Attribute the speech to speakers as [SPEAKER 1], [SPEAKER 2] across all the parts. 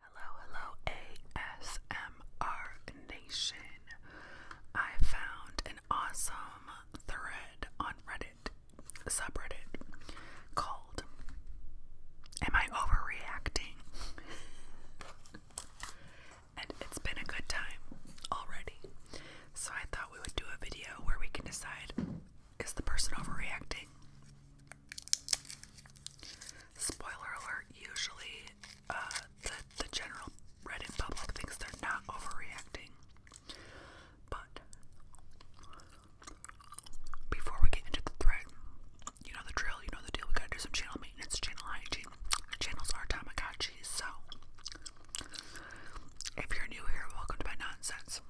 [SPEAKER 1] Hello, hello, ASMR Nation. I found an awesome thread on Reddit, subreddit, called Am I Overreacting? and it's been a good time already. So I thought we would do a video where we can decide is the person overreacting? Spoiler alert, usually uh, the, the general Reddit public thinks they're not overreacting. But before we get into the thread, you know the drill, you know the deal. We gotta do some channel maintenance, channel hygiene. Our channels are Tamagotchi, so if you're new here, welcome to my nonsense.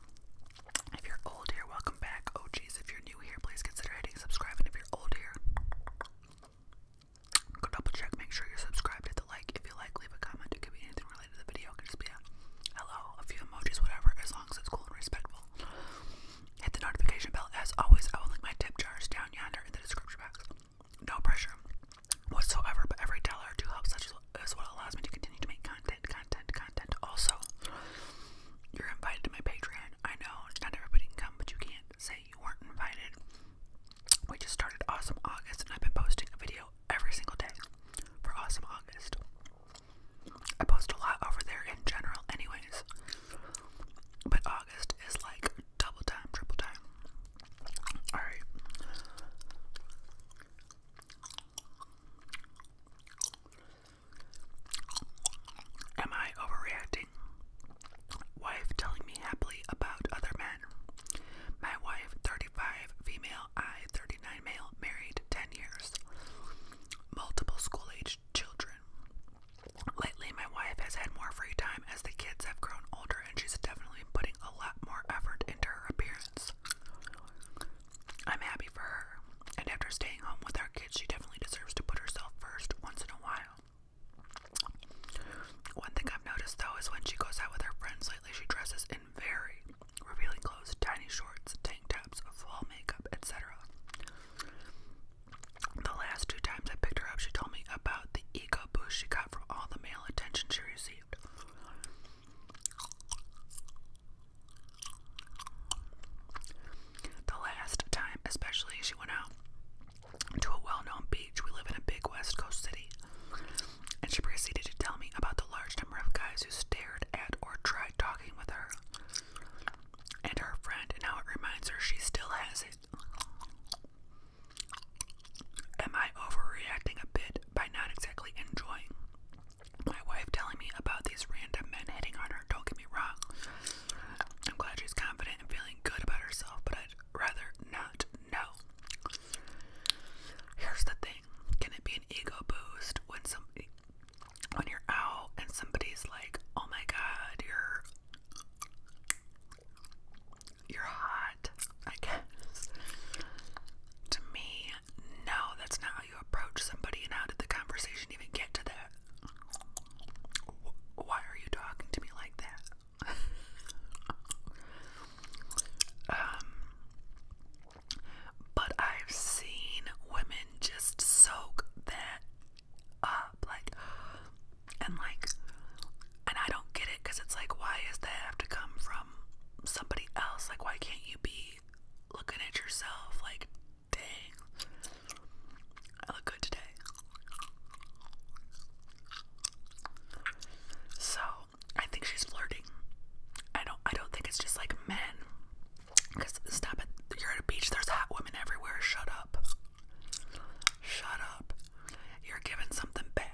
[SPEAKER 1] If you're old here, welcome back. Oh, geez, if you're new here, please consider hitting subscribe. And if you're old here, go double check, make sure you're subscribed. Hit the like. If you like, leave a comment. It could be anything related to the video. It could just be a hello, a few emojis, whatever, as long as it's cool and respectful. Hit the notification bell. As always, I will link my tip jars down yonder in the description box. No pressure whatsoever, but every dollar or helps such is what allows me to continue to make content, content, content. Also, you're invited to my Patreon. I know not everybody can come, but you can't say you weren't invited. We just started Awesome August, and I've been posting a video every single day for Awesome August. I post a lot over there in general, anyways. But August is like double time, triple time. Alright. Am I overreacting? Wife telling me happily about other men. My wife, 35, female, I, 39, male, married 10 years. Multiple school age children. Lately, my wife has had more free time as the kids have grown older, and she's definitely putting a lot more effort into her appearance. I'm happy for her. And after staying home with our kids, she definitely deserves to put herself first once in a while. One thing I've noticed though is when she goes out with her friends lately, she dresses in very revealing clothes, tiny shorts, tank tops, full makeup, etc. The last two times I picked her up, she told me about the ego boost she got from all the male attention she received. The last time, especially, she went out to a well known beach. We live in a big West Coast city. And she proceeded to tell me about the large number of guys who stared at or tried talking with her and her friend, and how it reminds her she still has it. Am I overreacting a bit by not exactly enjoying my wife telling me about these random men hitting on her, don't get me wrong. I'm glad she's confident and feeling good about herself, but I'd rather not know. Here's the thing can it be an ego boost when somebody, when you're out and somebody's like, oh my god, you're. You're hot, I guess. To me, no, that's not you approach somebody and how did the conversation even get to that? Why are you talking to me like that? um, but I've seen women just soak that up, like, and like, and I don't get it because it's like, why is that have to come from somebody else? Like, why can't you be looking at yourself like, dang, I look good today. So I think she's flirting. I don't. I don't think it's just like men. Cause stop it. You're at a beach. There's hot women everywhere. Shut up. Shut up. You're giving something back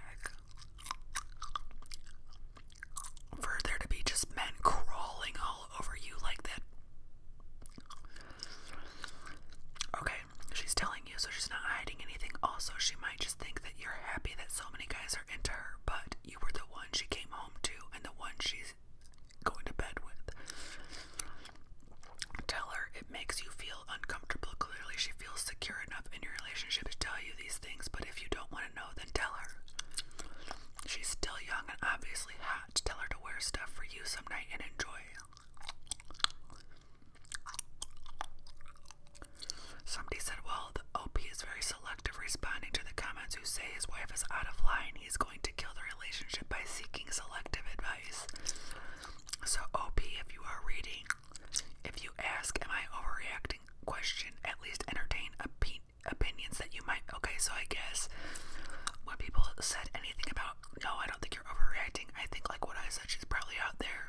[SPEAKER 1] for there to be just men crawling all over you like that. Okay, she's telling you, so she's not hiding anything. Also, she might just think that you're happy that so many guys are into her, but you were the one she came home to and the one she's going to bed with. Tell her it makes you feel uncomfortable. Clearly, she feels secure enough in your relationship to tell you these these things, but if you don't want to know, then tell her. She's still young and obviously hot. Tell her to wear stuff for you some night and enjoy. Somebody said, Well, the OP is very selective, responding to the comments who say his wife is out of line. He's going to kill the relationship by seeking selective advice. So, OP, if you are reading, if you ask, Am I overreacting? question, at least entertain a peep opinions that you might. Okay, so I guess when people said anything about, no, I don't think you're overreacting, I think like what I said, she's probably out there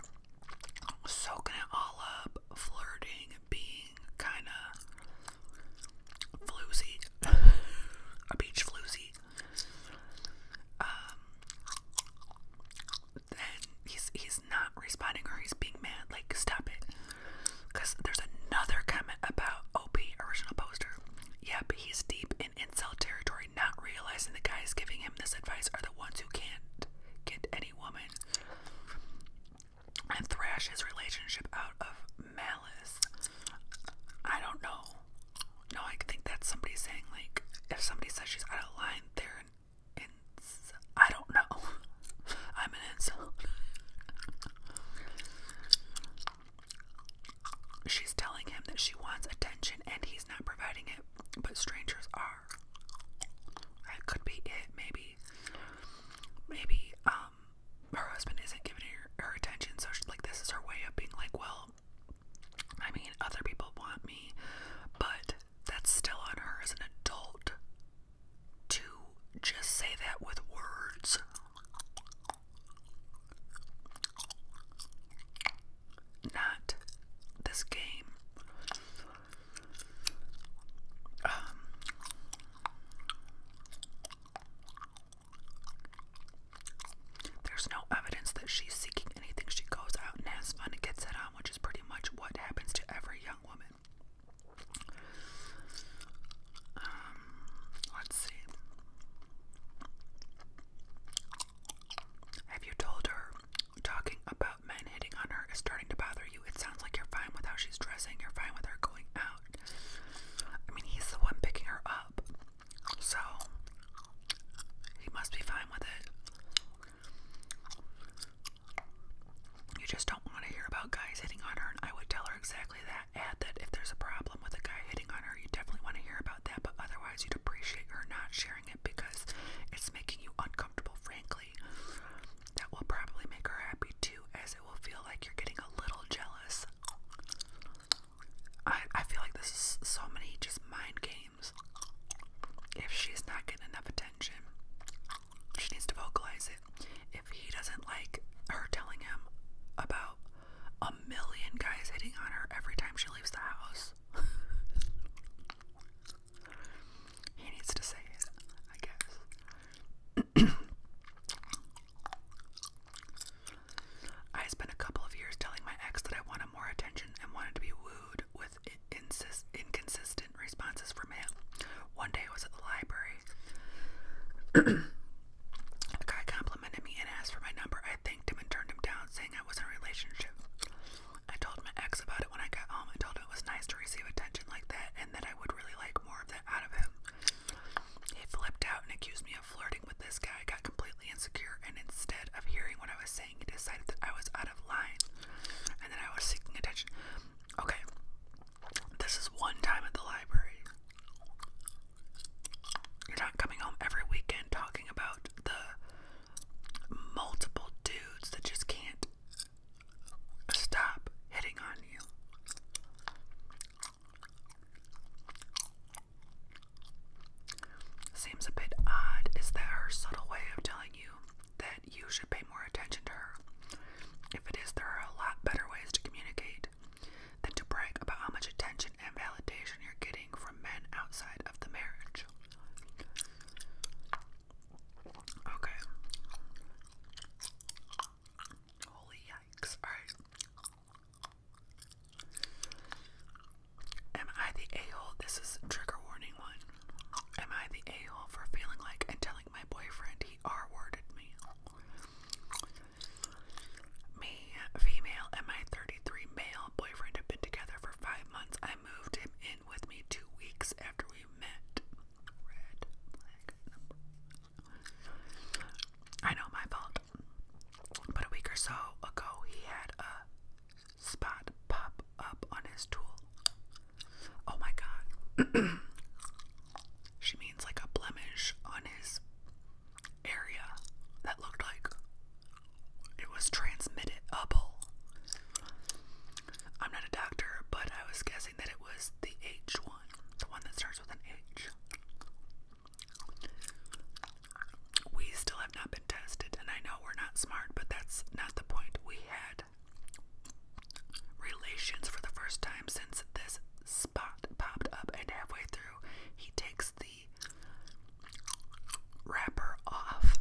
[SPEAKER 1] soaking it all up, flirting, being kind of floozy, a beach floozy. Um, then he's he's not responding or he's being mad. Like, stop it. Because there's another comment about OP original poster. Yeah, but he's deep in incel territory, not realizing the guys giving him this advice are the ones who can't get any woman. And thrash his relationship out of malice. I don't know. No, I think that's somebody saying, like, if somebody says she's out of line, they're ins I don't know. I'm an insult. She's telling him that she wants attention and he's not providing it, but strangers are. That could be it. Maybe, maybe um, her husband isn't giving her, her attention, so she's like this is her way of being like, well, I mean, other people want me, but that's still on her as an adult to just say that with words. Not this game. Um, there's no evidence that she's seeking anything. She goes out and has fun and gets it on, which is pretty much what happens to every young woman. Um, let's see. Have you told her talking about men hitting on her is starting to bother you? It sounds like you're fine with how she's dressing, you're fine with her going out. I mean, he's the one picking her up, so he must be fine with it. You just don't want to hear about guys hitting on her, and I would tell her exactly that. Add that if there's a problem with a guy hitting on her, you definitely want to hear about that, but otherwise, you'd appreciate her not sharing it because it's making you uncomfortable, frankly. That will probably make her happy too, as it will feel like you're getting a little jealous. I, I feel like this is so many just mind games. If she's not getting enough attention, she needs to vocalize it. If he doesn't like her telling him about a million guys hitting on her every time she leaves the house, he needs to say it, I guess. I spent a couple of years telling my ex that I wanted more attention and wanted to be wooed with inconsistent responses from him. One day I was at the library. a guy complimented me and asked for my number. I thanked him and turned him down, saying I was in a relationship. I told my ex about it when I got home. I told him it was nice to receive attention like that and that I would really like more of that out of him. He flipped out and accused me of flirting with this guy. I got completely insecure, and instead of hearing what I was saying, he decided that I was out of line and that I was seeking attention. Okay. This is one time at the library. You're not coming home every weekend talking about the multiple dudes that just can't stop hitting on you. Seems a bit odd. Is that her subtle way of telling you that you should pay more attention to her. If it is, there are a lot better ways to communicate than to brag about how much attention and validation you're getting from men outside of the marriage. Okay. Holy yikes. Alright. Am I the a hole? This is trigger warning one. Am I the a hole for feeling like and telling my boyfriend he R worded me? Me, female, and my 33 male boyfriend have been together for five months. I moved him in with me two weeks after we met. Red I know my fault. But a week or so ago, he had a spot pop up, on his tool. Oh my god. she means like a blemish on his area that looked like it was transmitted I'm not a doctor, but I was guessing that it was the H one, the one that starts with an H. We still have not been tested, and I know we're not smart, but that's not the point. We had relations for the first time since this spot popped up, and halfway through, he takes the wrapper off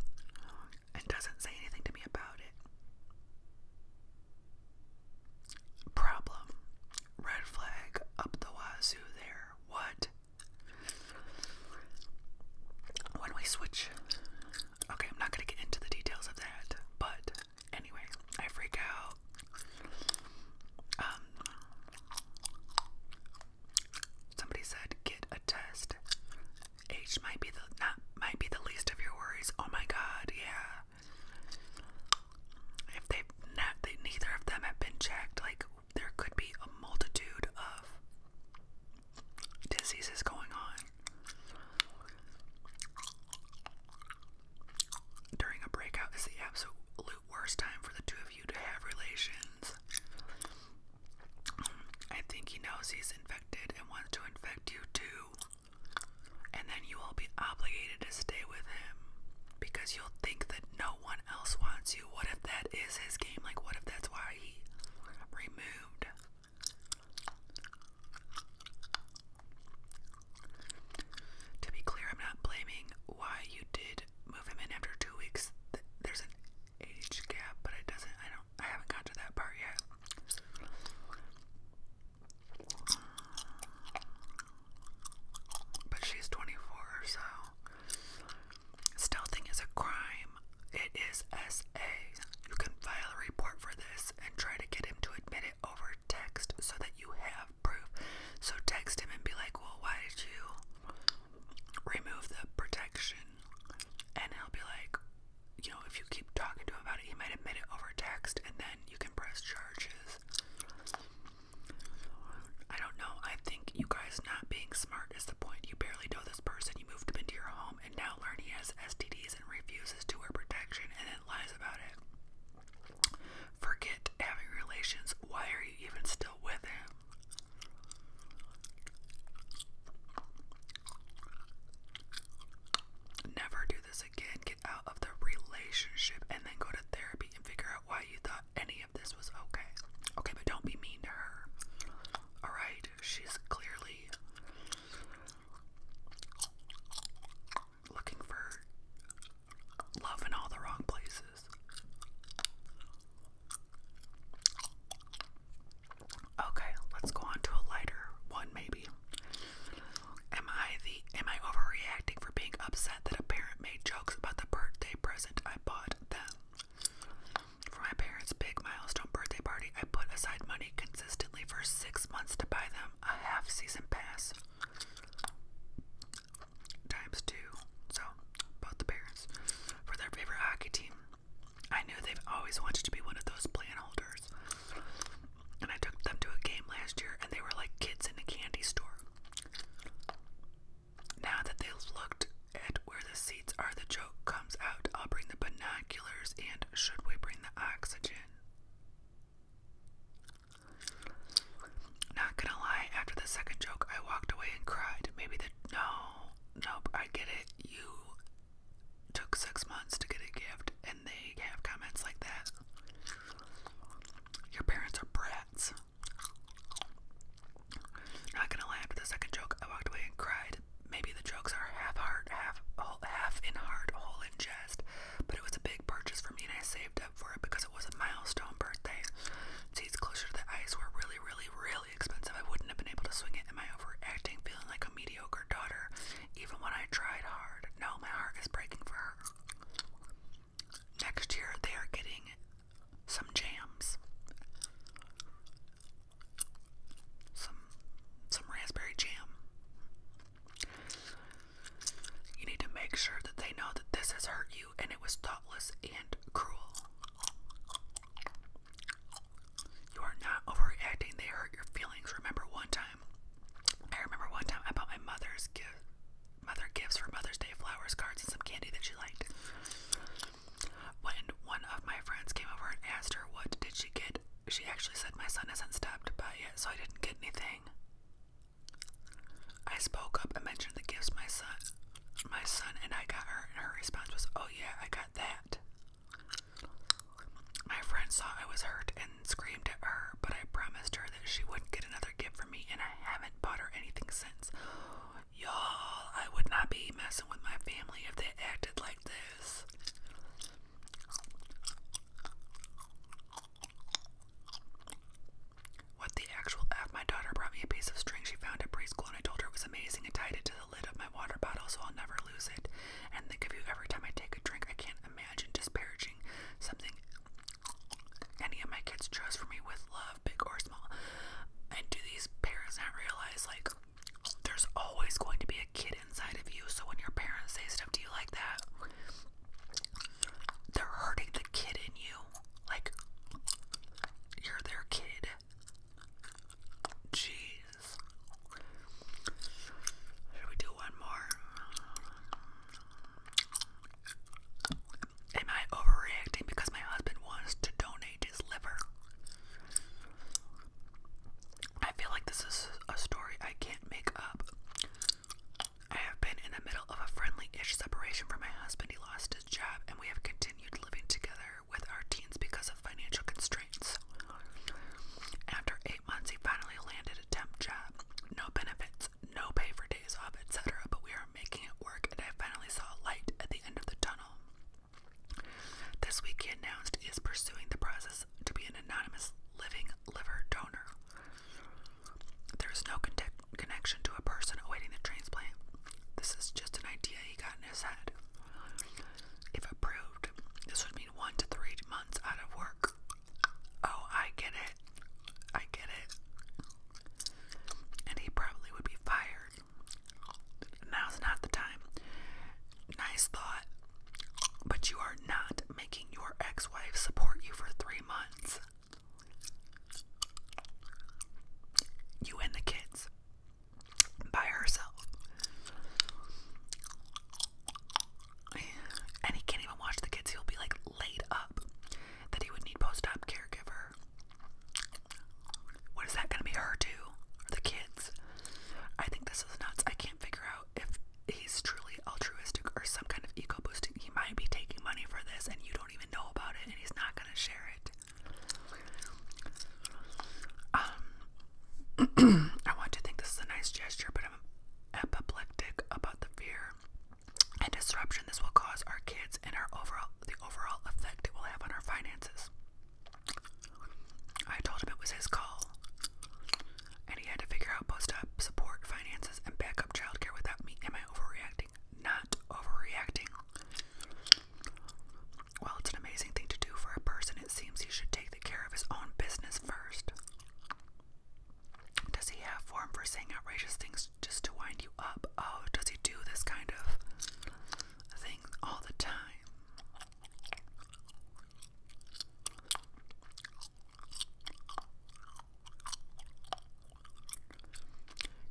[SPEAKER 1] and doesn't say anything to me about it. Problem. Red flag up the wazoo there. What? When we switch Okay, I'm not gonna get into the details of that, but anyway, I freak out. Um, somebody said get a test. Age might be the not might be the least of your worries. Oh my God, yeah. If they've not, they neither of them have been checked. Like there could be a multitude of disease is going on during a breakout is the absolute worst time for the two of you to have relations i think he knows he's infected and wants to infect you too and then you will be obligated to stay with him because you'll think that no one else wants you what if that is his game like what if that's why he removed to be clear, I'm not blaming why you did move him in after two weeks. There's an age gap, but it doesn't. I don't. I haven't got to that part yet. But she's 24, so stealthing is a crime. It is S.A. You can file a report for this and try to get him to admit it over text so that you have proof. So text him and be like, well, why did you remove the protection? And he'll be like, you know, if you keep talking to him about it, he might admit it over text and then you can press charges. I don't know. I think you guys not being smart is the point. You barely know this person. You moved him into your home. Um, and now learn has STDs and refuses to wear protection and then lies about it. Forget having relations. Why are you even still with him? Never do this again. Get out of the relationship and then go to therapy and figure out why you thought any of this was okay. Okay, but don't be mean to her. Alright? She's clearly looking for love in all the wrong places. Okay, let's go on to a lighter one maybe. Am I the am I overreacting for being upset that a parent made jokes about the birthday present I bought them? For my parents' big milestone birthday party, I put aside money consistently for six months to buy them a half season pass times two. So, both the parents. For their favorite hockey team, I knew they've always wanted to be one of those plan holders. And I took them to a game last year, and they were like kids in a candy store. Now that they've looked at where the seats are, the joke comes out. I'll bring binoculars and should we bring the oxygen? Not gonna lie, after the second joke, I walked away and cried. Maybe the. No, nope, I get it. You took six months to get a gift, and they have comments like that. Your parents are brats. Not gonna lie, after the second joke, I walked away and cried maybe the jokes are half heart, half whole, half in heart, whole in jest. But it was a big purchase for me, and I saved up for it because it was a milestone birthday. Seats closer to the ice were really, really, really expensive. I wouldn't have been able to swing it in my overacting, feeling like a mediocre daughter, even when I tried hard. No, my heart is breaking for her. Next year, they are getting some jams some some raspberry jam. You need to make sure that they know that this has hurt you and it was thoughtless and cruel. You are not overreacting. They hurt your feelings. Remember one time. I remember one time I bought my mother's gift, mother gifts for Mother's Day flowers, cards, and some candy that she liked. When one of my friends came over and asked her what did she get, she actually said my son hasn't stopped by yet, so I didn't get anything. I spoke up and mentioned the gifts my son my son and I got her and her response was, Oh yeah, I got that. My friend saw I was hurt and screamed at her, but I promised her that she wouldn't get another gift from me and I haven't bought her anything since. Y'all, I would not be messing with my family if they acted like this is. What the actual My daughter brought me a piece of string she found at preschool, and I told her it was amazing and tied it to the lid of my water bottle so I'll never lose it. And think of you every time I take a drink. I can't imagine disparaging something any of my kids chose for me with love, big or small. And do these parents not realize, like, there's always going to be a kid inside of you. So when your parents say stuff to you like that, they're hurting the kid in you. Like, you're their kid. Jeez. Should we do one more? Am I overreacting because my husband wants to donate his liver? I feel like this is a story I can't make up. I have been in the middle of a friendly ish separation from my husband. He lost his job, and we have continued living together with our teens because of financial constraints. After eight months, he finally landed a temp job. No benefits, no pay for days off, etc., but we are making it work, and I finally saw a light at the end of the tunnel. This week, he announced he is pursuing the process to be an anonymous living liver donor. There is no connection to a person awaiting the transplant. This is just an idea he got in his head. If approved, this would mean one to three months out of work. Oh, I get it. I get it. And he probably would be fired. Now's not the time. Nice thought, but you are not making your ex wife support you for three months. You and the kids by herself. And he can't even watch the kids, he'll be like laid up that he would need post op caregiver what is that gonna be her too? Or the kids? I think this is nuts. I can't figure out if he's truly altruistic or some kind of eco boosting. He might be taking money for this and you don't even know about it and he's not gonna share it. Um I want to think this is a nice gesture, but I'm apoplectic about the fear and disruption this will cause our kids and our overall the overall effect it will have on our finances. I told him it was his call, and he had to figure out post up support, finances, and backup childcare without me. Am I overreacting? Not overreacting. Well, it's an amazing thing to do for a person. It seems he should take the care of his own business first. Does he have form for saying outrageous things just to wind you up? Oh, does he do this kind of thing all the time?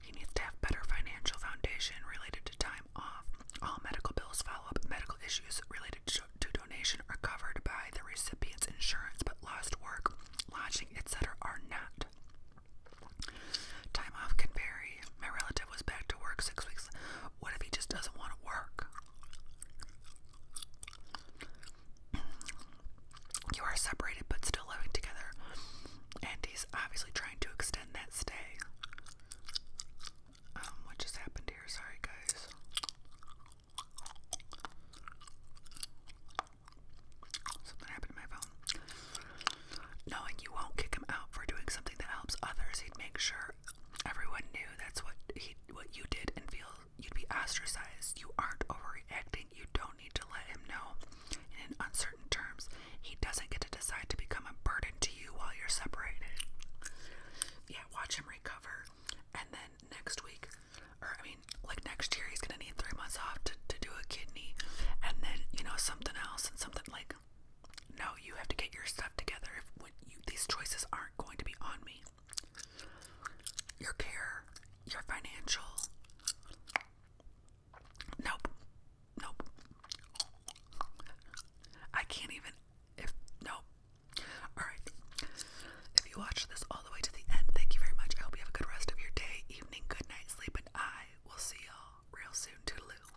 [SPEAKER 1] He needs to have better financial foundation related to time off. All medical bills, follow-up, medical issues related to, donation are covered by the recipient's insurance, but lost work, lodging, etc. are not. Time off can vary. My relative was back to work six weeks what if he just doesn't want to work? You are separated but still living together, and he's obviously trying to extend that stay. Um, what just happened here? Sorry, guys. Something happened to my phone. Knowing you won't kick him out for doing something that helps others, he'd make sure everyone knew that's what he what you did and feel you'd be ostracized. You aren't overreacting. You don't need to let him know. And in uncertain terms, he doesn't get to decide to become a burden to you while you're separated. Yeah, watch him recover. And then next week, or I mean, like next year, he's gonna need three months off to, to do a kidney, and then you know something else and something like no, you have to get your stuff together. If when you, these choices aren't going to be on me, your care, your financial. Nope, nope. I can't even. If no, all right. If you watched this all the way to the end, thank you very much. I hope you have a good rest of your day, evening, good night, sleep, and I will see y'all real soon. Toodaloo.